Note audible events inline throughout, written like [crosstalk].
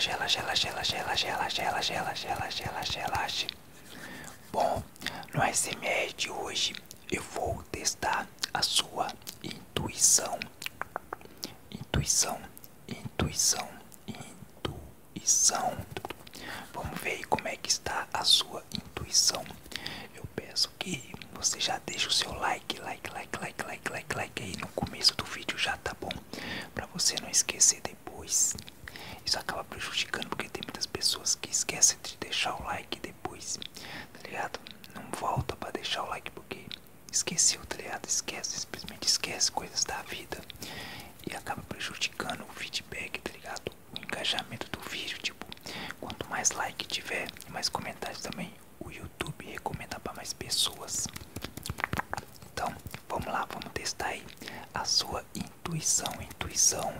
Relaxe, relaxe, relaxe, relaxe, relaxe, relaxe, relaxe, relaxe, relaxe, relaxe, relaxe. Bom, no SMR de hoje eu vou testar a sua intuição. Intuição, intuição, intuição. Vamos ver como é que está a sua intuição eu peço que você já deixe o seu like, like, like, like, like, like, like aí no começo do vídeo já tá bom, para você não esquecer depois. Isso acaba prejudicando porque tem muitas pessoas que esquecem de deixar o like depois, tá ligado? Não volta para deixar o like porque esqueceu, tá ligado? Esquece, simplesmente esquece coisas da vida e acaba prejudicando o feedback, tá ligado? o engajamento do vídeo, tipo, quanto mais like tiver e mais comentários também, o YouTube recomenda para mais pessoas. Então, vamos lá, vamos testar aí a sua intuição, intuição.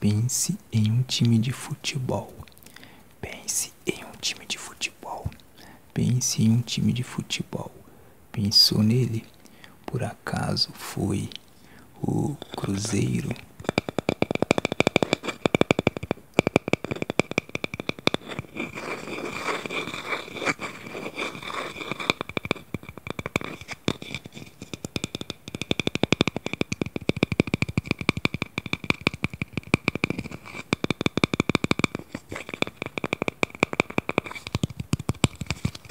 Pense em um time de futebol. Pense em um time de futebol. Pense em um time de futebol. Pensou nele? Por acaso foi o Cruzeiro.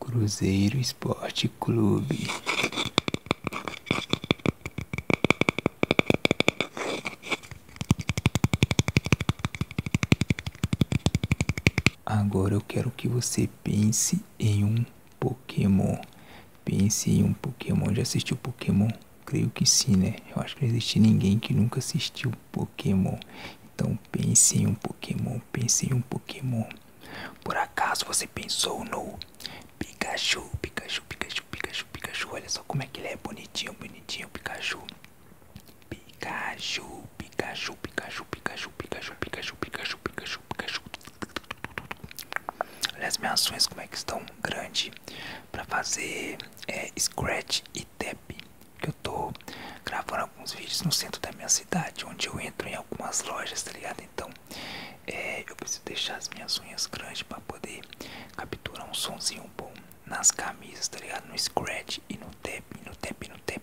Cruzeiro Esporte Clube. Agora eu quero que você pense em um Pokémon. Pense em um Pokémon. Já assistiu Pokémon? Creio que sim, né? Eu acho que não existe ninguém que nunca assistiu Pokémon. Então pense em um Pokémon. Pense em um Pokémon. Por acaso você pensou no Pikachu? Pikachu, Pikachu, Pikachu, Pikachu. Olha só como é que ele é bonitinho, bonitinho, Pikachu. Pikachu. Pikachu, Pikachu, Pikachu, Pikachu, Pikachu, Pikachu, Pikachu, Pikachu. Olha as minhas ações como é que estão grande para fazer é, scratch e tap. Que eu tô gravando alguns vídeos no centro da minha cidade, onde eu entro em algumas lojas, tá ligado? Então, é, eu preciso deixar as minhas unhas grandes para poder capturar um sonzinho bom nas camisas, tá ligado? No scratch e no tap, no tap, no tap.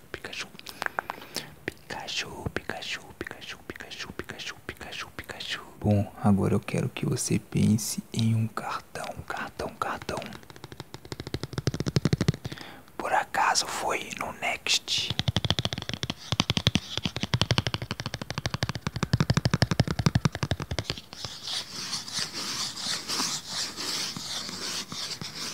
Pikachu, Pikachu. Pikachu, Pikachu, Pikachu, Pikachu, Pikachu, Pikachu, Bom, agora eu quero que você pense em um cartão, cartão, cartão. Por acaso foi no Next?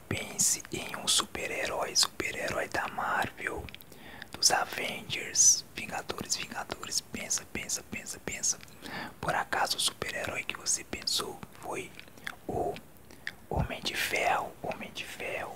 pense em um super-herói, super-herói da Marvel, dos Avengers, Vingadores, Vingadores. Pensa, pensa, pensa, pensa. Por acaso o super-herói que você pensou foi o Homem de Ferro, Homem de Ferro.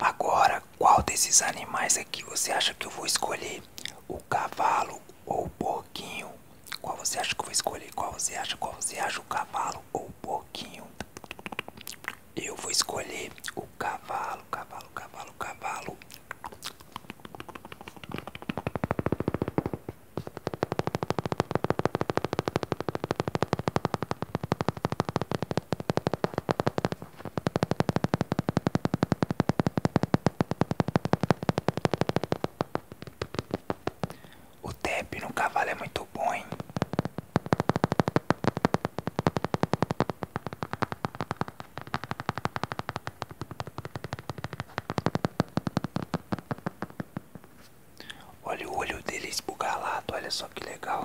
Agora, qual desses animais aqui é você acha que eu vou escolher? O cavalo ou o porquinho? Qual você acha que eu vou escolher? Qual você acha? Qual você acha? O cavalo ou o porquinho? Eu vou escolher o cavalo, cavalo, cavalo, cavalo. O tap no cavalo é muito bom, Olha o olho dele esbugalado, olha só que legal.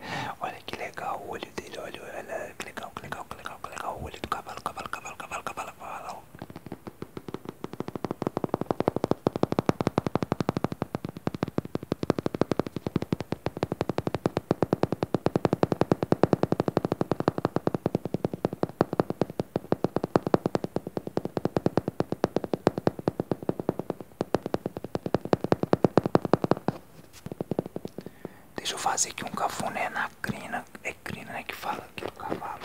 [laughs] olha que legal o olho dele, olha, olha que legal, que legal, que legal, que legal o olho do cavalo, cavalo, cavalo, cavalo, cavalo, cavalo. Deixa eu fazer aqui um cafuné na crina. É crina, né? Que fala aqui do cavalo.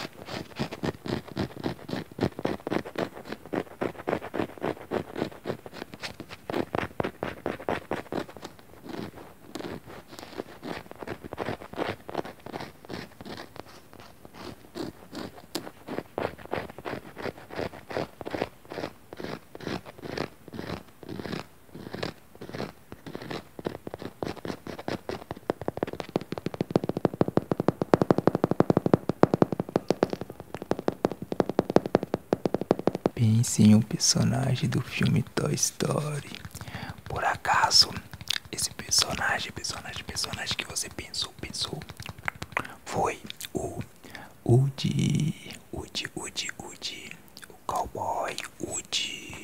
Pense em um personagem do filme Toy Story, por acaso, esse personagem, personagem, personagem que você pensou, pensou, foi o Woody, Woody, Woody, Woody, o cowboy Woody.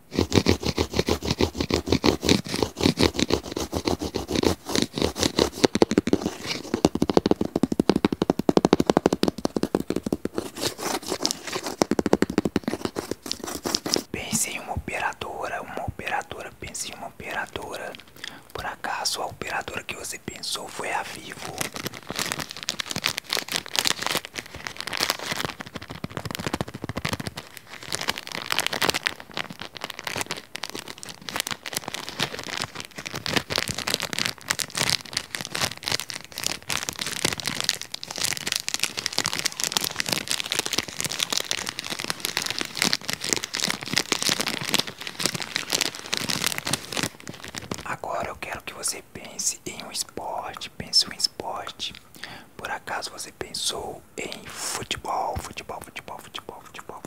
Pense em uma operadora, uma operadora, pense em uma operadora. Por acaso a operadora que você pensou foi a Vivo? Agora eu quero que você pense em um esporte, pense em esporte por acaso você pensou em futebol, futebol, futebol, futebol, futebol, futebol?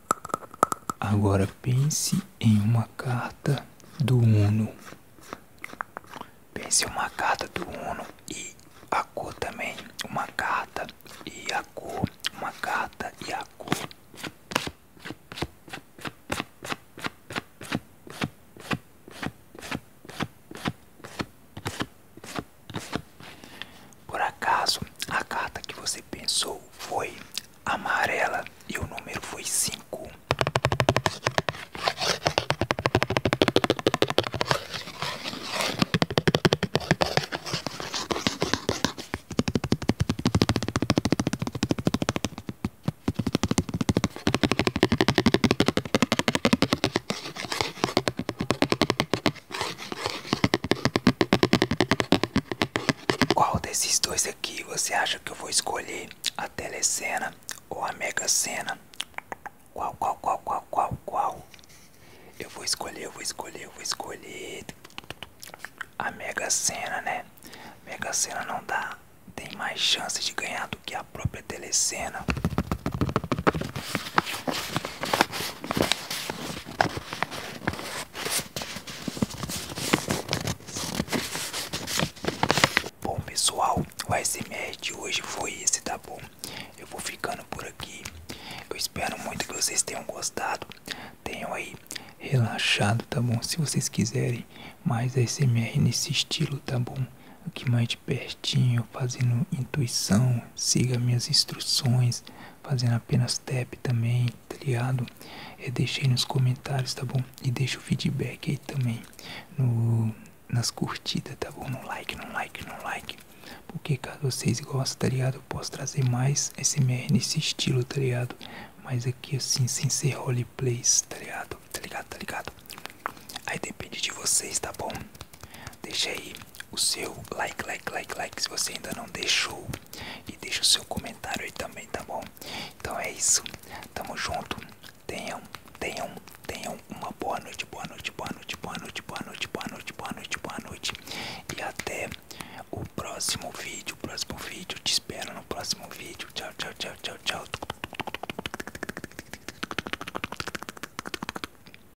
Agora pense em uma carta do Uno. Pense em uma carta do Uno e a cor também. Uma carta e a cor. Uma carta e a cor. Por acaso, a carta que você pensou foi amarela e o número foi cinco. Qual desses dois aqui você acha que eu vou escolher? A telecena ou a mega sena? Qual, qual, qual, qual, qual, qual? Eu vou escolher, eu vou escolher, eu vou escolher a mega sena, né? Mega sena não dá, tem mais chance de ganhar do que a própria telecena. Bom pessoal, o ASMR de hoje foi esse, tá bom? Eu vou ficando por aqui. Eu espero muito que vocês tenham gostado. Tenham aí relaxado, tá bom? Se vocês quiserem mais ASMR nesse estilo, tá bom? Aqui mais de pertinho, fazendo intuição, siga minhas instruções fazendo apenas tap também, tá ligado? É, deixa aí nos comentários, tá bom? E deixa o feedback aí também no, nas curtidas, tá bom? No like, no like, no like. Porque caso vocês gostem, tá ligado? Eu posso trazer mais SMR nesse estilo, tá ligado? Mas aqui assim, sem ser roleplays, tá ligado? Tá ligado, tá ligado? Aí depende de vocês, tá bom? deixe aí o seu like, like, like, like se você ainda não deixou. E deixe o seu comentário aí também, tá bom? Então é isso. Tamo junto. Tenham, tenham, tenham uma boa noite, boa noite, boa noite, boa noite, boa noite, boa noite, boa noite, boa noite. E até o próximo vídeo. O próximo vídeo. Te espero no próximo vídeo. Tchau, tchau, tchau, tchau, tchau.